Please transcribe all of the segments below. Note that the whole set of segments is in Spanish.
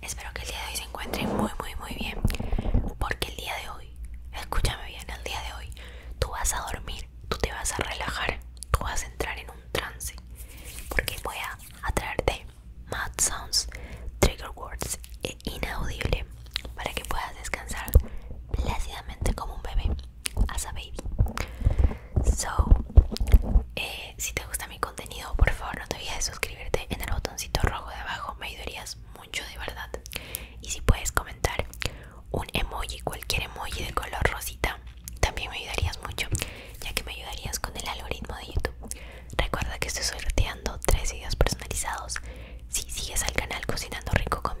Espero que el día de hoy se encuentre muy, muy, muy bien. Porque el día de hoy, escúchame bien, el día de hoy tú vas a dormir, tú te vas a relajar, tú vas a entrar en un trance. Porque voy a traerte mad sounds, trigger words e inaudible para que puedas descansar plácidamente como un bebé as a baby. So, eh, si te gusta mi contenido, por favor no te olvides de suscribirte en el botoncito rojo de abajo, me ayudarías mucho de verdad. Y si puedes comentar un emoji, cualquier emoji de color rosita, también me ayudarías mucho, ya que me ayudarías con el algoritmo de YouTube. Recuerda que estoy sorteando tres videos personalizados. Si sigues al canal Cocinando Rico con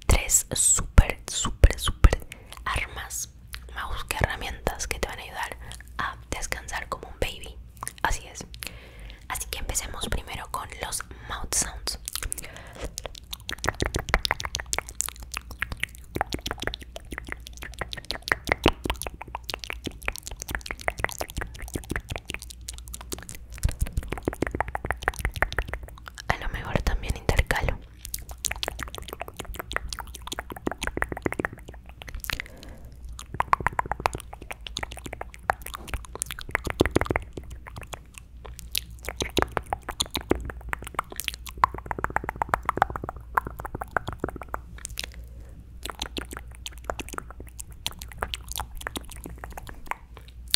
tres super, super, súper armas, mouse que herramientas que te van a ayudar a descansar como un baby. Así es. Así que empecemos primero con los mouth sounds a lo mejor también intercalo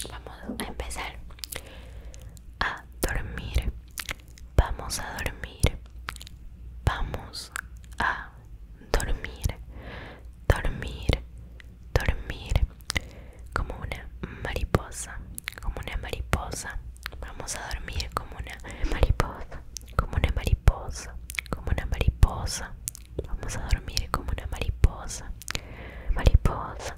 vamos a empezar a dormir vamos a dormir vamos a dormir dormir dormir como una mariposa como una mariposa vamos a dormir como una mariposa como una mariposa como una mariposa vamos a dormir como una mariposa mariposa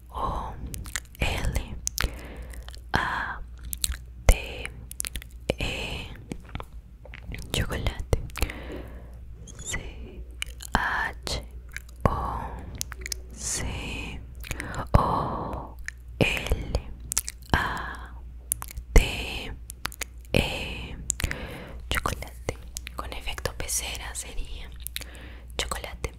O L A T E Chocolate C H O C O L A T E Chocolate con efecto pecera sería chocolate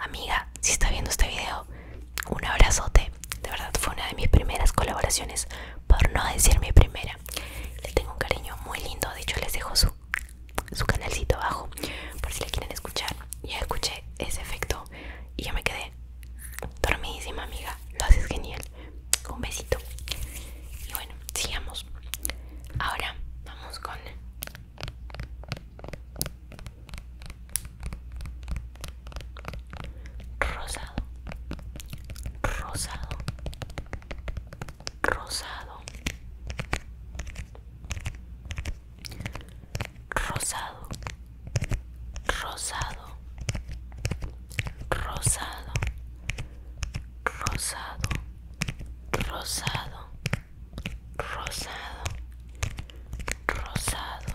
Amiga, si está viendo este video, un abrazote. De verdad fue una de mis primeras colaboraciones, por no decir mi primera. Le tengo un cariño muy lindo, de hecho les dejo su, su canalcito abajo por si le quieren escuchar. Ya escuché ese efecto y yo me quedé dormidísima, amiga. Lo haces genial. Un besito. Y bueno, sigamos. Ahora vamos con rosado rosado rosado rosado rosado rosado rosado rosado rosado rosado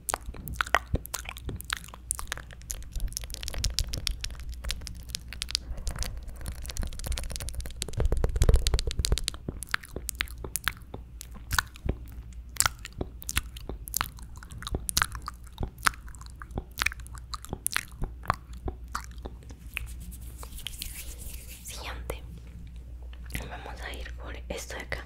Siguiente, vamos a ir por esto de acá.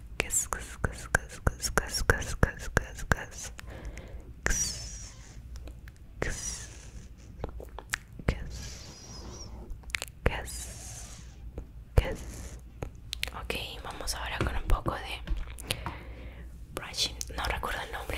Ok, vamos ahora con un poco de brushing. No recuerdo el nombre.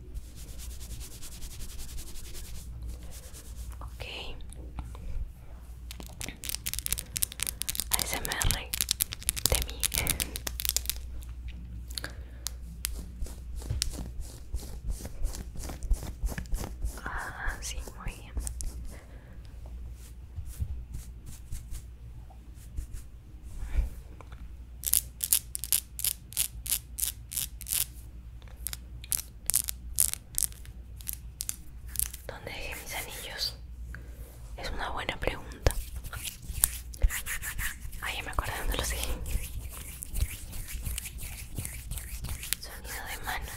Ok. ASMR de mí. ah, sí, muy bien. ¿Dónde dejé mis anillos? Es una buena pregunta. Ay, ah, me acuerdo donde los dejé. Sonido de manos.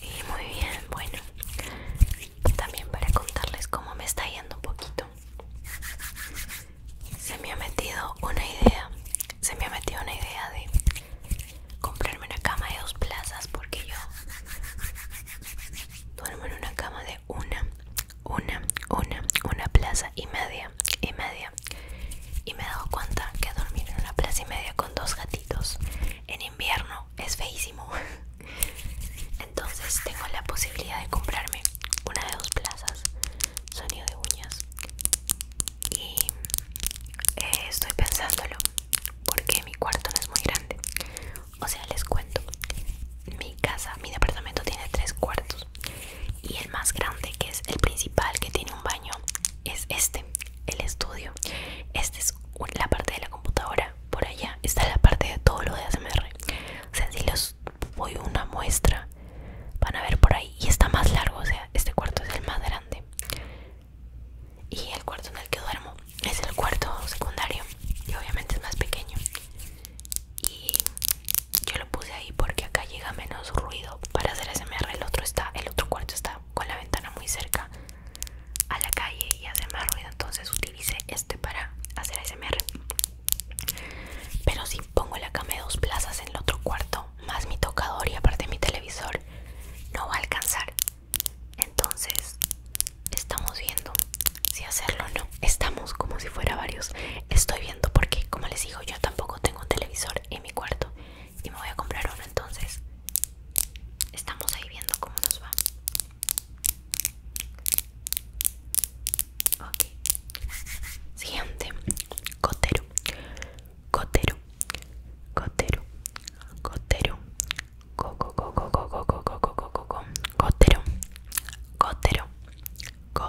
Y muy bien, bueno, también para contarles cómo me está yendo un poquito. Se me ha metido una idea, se me ha metido una idea de comprarme una cama de dos plazas porque yo duermo en una cama de una, una, una, una plaza y media, y media, y me he dado cuenta que dormir en una plaza y media con dos gatitos en invierno es feísimo. Entonces tengo la posibilidad de comprarme una de dos plazas, sonido de uñas. Y eh, estoy pensándolo porque mi cuarto no es muy grande. O sea, les cuento. Mi casa, mi departamento tiene tres cuartos y el más grande que es el principal que tiene un baño es este el estudio esta es la parte de la computadora por allá está la parte de todo lo de ASMR o sea si les voy una muestra van a ver por ahí y está más largo o sea este cuarto es el más grande y el cuarto en el que duermo es el cuarto secundario y obviamente es más pequeño y yo lo puse ahí porque acá llega menos ruido para hacer SMR el otro está el otro cuarto está con la ventana muy cerca a la calle y hace más ruido entonces utilicé este para hacer SMR pero si pongo la cama de dos plazas en el otro cuarto más mi tocador y aparte mi televisor no va a alcanzar entonces estamos viendo si hacerlo o no estamos como si fuera varios estoy viendo porque como les digo yo tampoco tengo un televisor en mi cuarto y me voy a comprar uno entonces estamos ahí viendo cómo nos va siguiente Cotero Cotero Cotero Cotero go Cotero Cotero go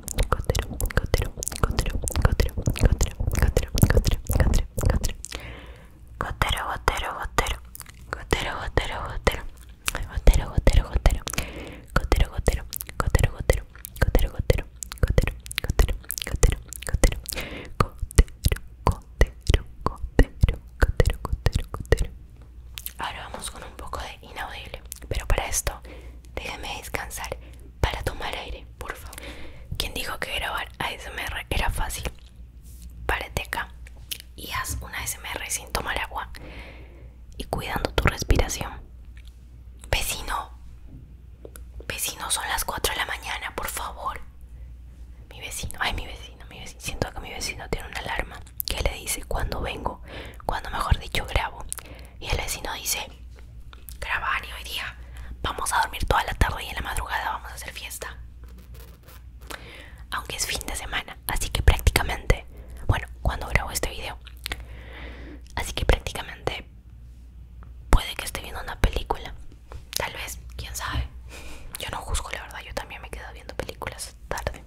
Cotero, cotero, cotero, cotero, cotero, cotero, cotero, cotero, cotero. Gotero, gotero, gotero. cotero, gotero, gotero. cotero, gotero, gotero. cotero, gotero, cotero, gotero. cotero, cotero, cotero, cotero, cotero, cotero, cotero, cotero, cotero, cotero, cotero, Ahora vamos con un poco de inaudible, pero para esto déjame descansar para tomar aire, por favor. ¿Quién dijo que grabar ASMR era fácil? Párate acá y haz una ASMR sin tomar agua y cuidando tu respiración. Vecino, vecino, son las 4 de la mañana, por favor. Mi vecino, ay, mi vecino, mi vecino. Siento que mi vecino tiene una alarma que le dice cuando vengo, cuando mejor dicho grabo. Y el vecino dice, y hoy día vamos a dormir toda la tarde y en la madrugada vamos a hacer fiesta. Aunque es fin de semana, así que prácticamente, bueno, cuando grabo este video, así que prácticamente puede que esté viendo una película. Tal vez, quién sabe. Yo no juzgo, la verdad, yo también me quedo viendo películas tarde.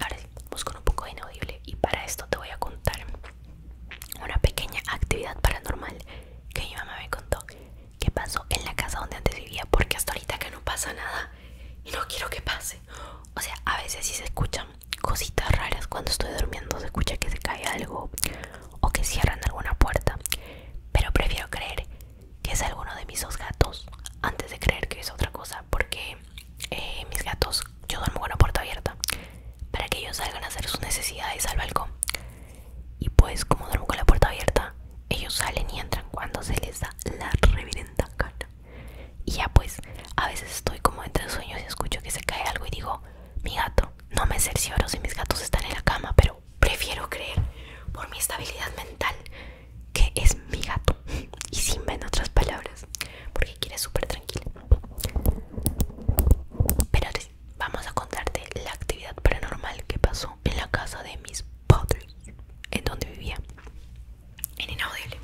Ahora sí, busco un poco de inaudible y para esto te voy a contar una pequeña actividad paranormal que mi mamá me contó que pasó en la casa donde antes vivía porque hasta ahorita que no pasa nada y no quiero que pase. O sea, a veces sí se escuchan cositas raras cuando estoy durmiendo, se escucha que se cae algo o que cierran alguna puerta, pero prefiero creer que es alguno de mis dos gatos antes de creer que es otra cosa porque eh, mis gatos, yo duermo con la puerta abierta para que ellos salgan a hacer sus necesidades al balcón. Y pues como duermo con la puerta abierta, ellos salen y entran cuando se les da la reverenda cara Y ya pues, a veces estoy como entre sueños y escucho que se cae algo y digo, mi gato, no me cercioro si mis gatos están en la cama, pero prefiero creer por mi estabilidad mental que es mi gato y sin ver otras palabras, porque aquí quieres súper tranquila. Pero sí, vamos a contarte la actividad paranormal que pasó en la casa de mis padres, en donde vivía, en Inaudible.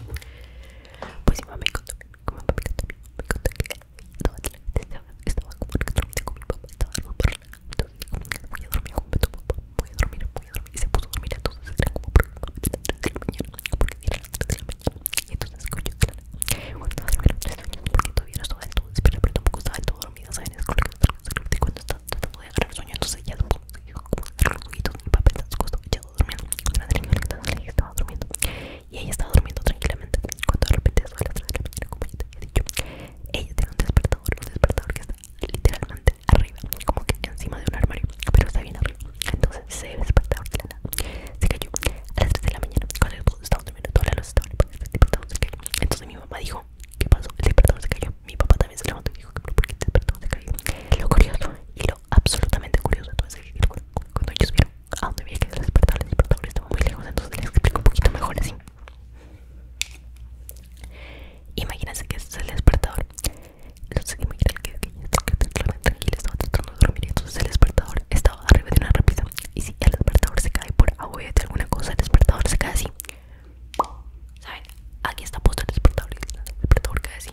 Pues mi mamá me contó, mi mamá me contó, me contó que toda la gente estaba, estaba comunicando con mi papá, estaba muy dormida con mi papá, muy dormida, muy dormida, y se puso a dormir, entonces era como por la mañana, porque era las 3 de la mañana. Y entonces escucho, claro. Bueno, no sé, porque todavía no estaba del todo despierta, pero tampoco estaba del todo dormido, ¿saben? Es correcto, es cuando está tratando de agarrar el sueño, entonces ya tampoco los ojitos, mi papá está acostado, echado durmiendo. La niña estaba durmiendo. Y ella estaba durmiendo tranquilamente. Cuando de repente suele las 3 la mañana, como ya te había dicho, ella tiene un despertador, un despertador que está literalmente arriba, como que encima de un armario, pero está bien arriba. Entonces, se despertaba Se cayó a las 3 de la mañana cuando el todos durmiendo, toda la luz se cayó. Entonces mi mamá dijo, ¿qué pasó? El despertador se cayó. Mi papá también se levantó y dijo, por qué el despertador se cayó? Lo curioso y lo absolutamente curioso entonces es cuando ellos vieron a donde había que despertar, el despertador estaba muy lejos, entonces les explico un poquito mejor así. Imagínense que es el despertador. Los inmigrantes que estaban tratando de dormir. Entonces el despertador estaba arriba de una repisa. Y si el despertador se cae por agua de alguna cosa, el despertador se cae así. ¿Saben? Aquí está puesto el despertador. El despertador cae así.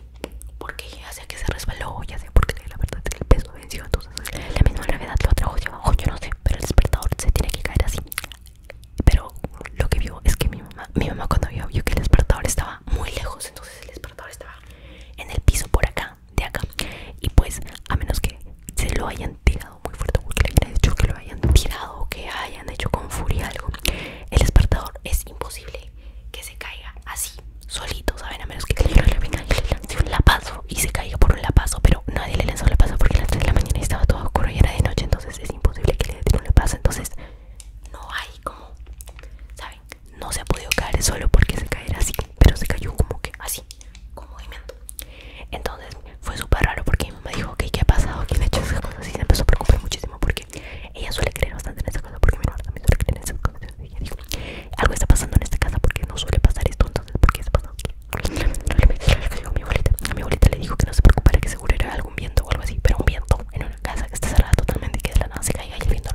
Porque ya sé que se resbaló, ya sea porque la verdad es que el peso venció. Entonces la misma gravedad lo trajo hacia abajo. Yo no sé, pero el despertador se tiene que caer así. Pero lo que vio es que mi mamá, mi mamá cuando vio, vio que el despertador estaba muy lejos, entonces el despertador estaba en el piso por acá, de acá. Y pues, a menos que se lo hayan tirado muy fuerte, porque le hayan dicho que lo hayan tirado o que hayan hecho con furia algo, el despertador es imposible que se caiga así, solito, ¿saben? A menos que alguien le venga y un lapazo y se caiga por un lapazo, pero nadie le lanzó un lapazo porque a las 3 de la mañana estaba todo oscuro y era de noche, entonces es imposible que le den un lapazo. Entonces, no hay como, ¿saben? no se ha podido caer solo porque se cayera así, pero se cayó como que así, con movimiento. Entonces fue súper raro porque mi mamá dijo, ok, ¿qué ha pasado? ¿Quién ha hecho esas cosas? Y se empezó a preocupar muchísimo porque ella suele creer bastante en esas cosas, porque mi mamá también suele creer en esas cosas. Y ella dijo, algo está pasando en esta casa porque no suele pasar esto, entonces ¿por qué se ha pasado mi a mi abuelita le dijo que no se preocupara, que seguro era algún viento o algo así, pero un viento en una casa que está cerrada totalmente y que de la nada se caiga y el viento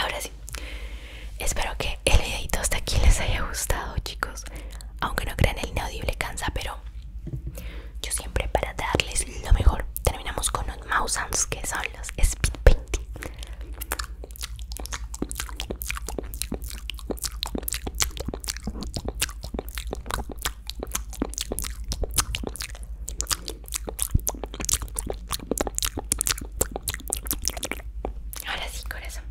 Ahora sí, espero que el videito hasta aquí les haya gustado, chicos. Aunque no crean, el inaudible cansa, pero yo siempre para darles lo mejor terminamos con los mouse que son los speed Ahora sí, corazón.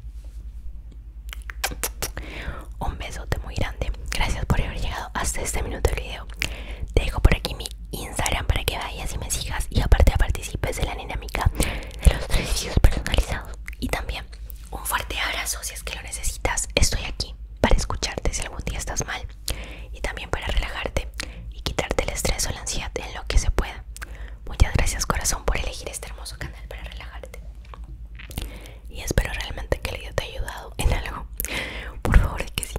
Un besote muy grande. Gracias por haber llegado hasta este minuto del video. Te dejo por aquí mi Instagram para que vayas y me sigas. Y aparte participes de la dinámica de los ejercicios personalizados. Y también un fuerte abrazo si es que lo necesitas. Estoy aquí para escucharte si algún día estás mal y también para relajarte y quitarte el estrés o la ansiedad en lo que se pueda. Muchas gracias corazón por elegir este hermoso canal para relajarte. Y espero realmente que el video te haya ayudado en algo. Por favor, que sí.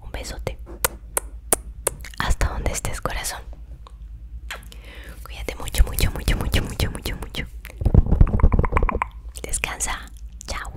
Un besote. Hasta donde estés, corazón. Cuídate mucho, mucho, mucho, mucho, mucho, mucho, mucho. Descansa. Chao.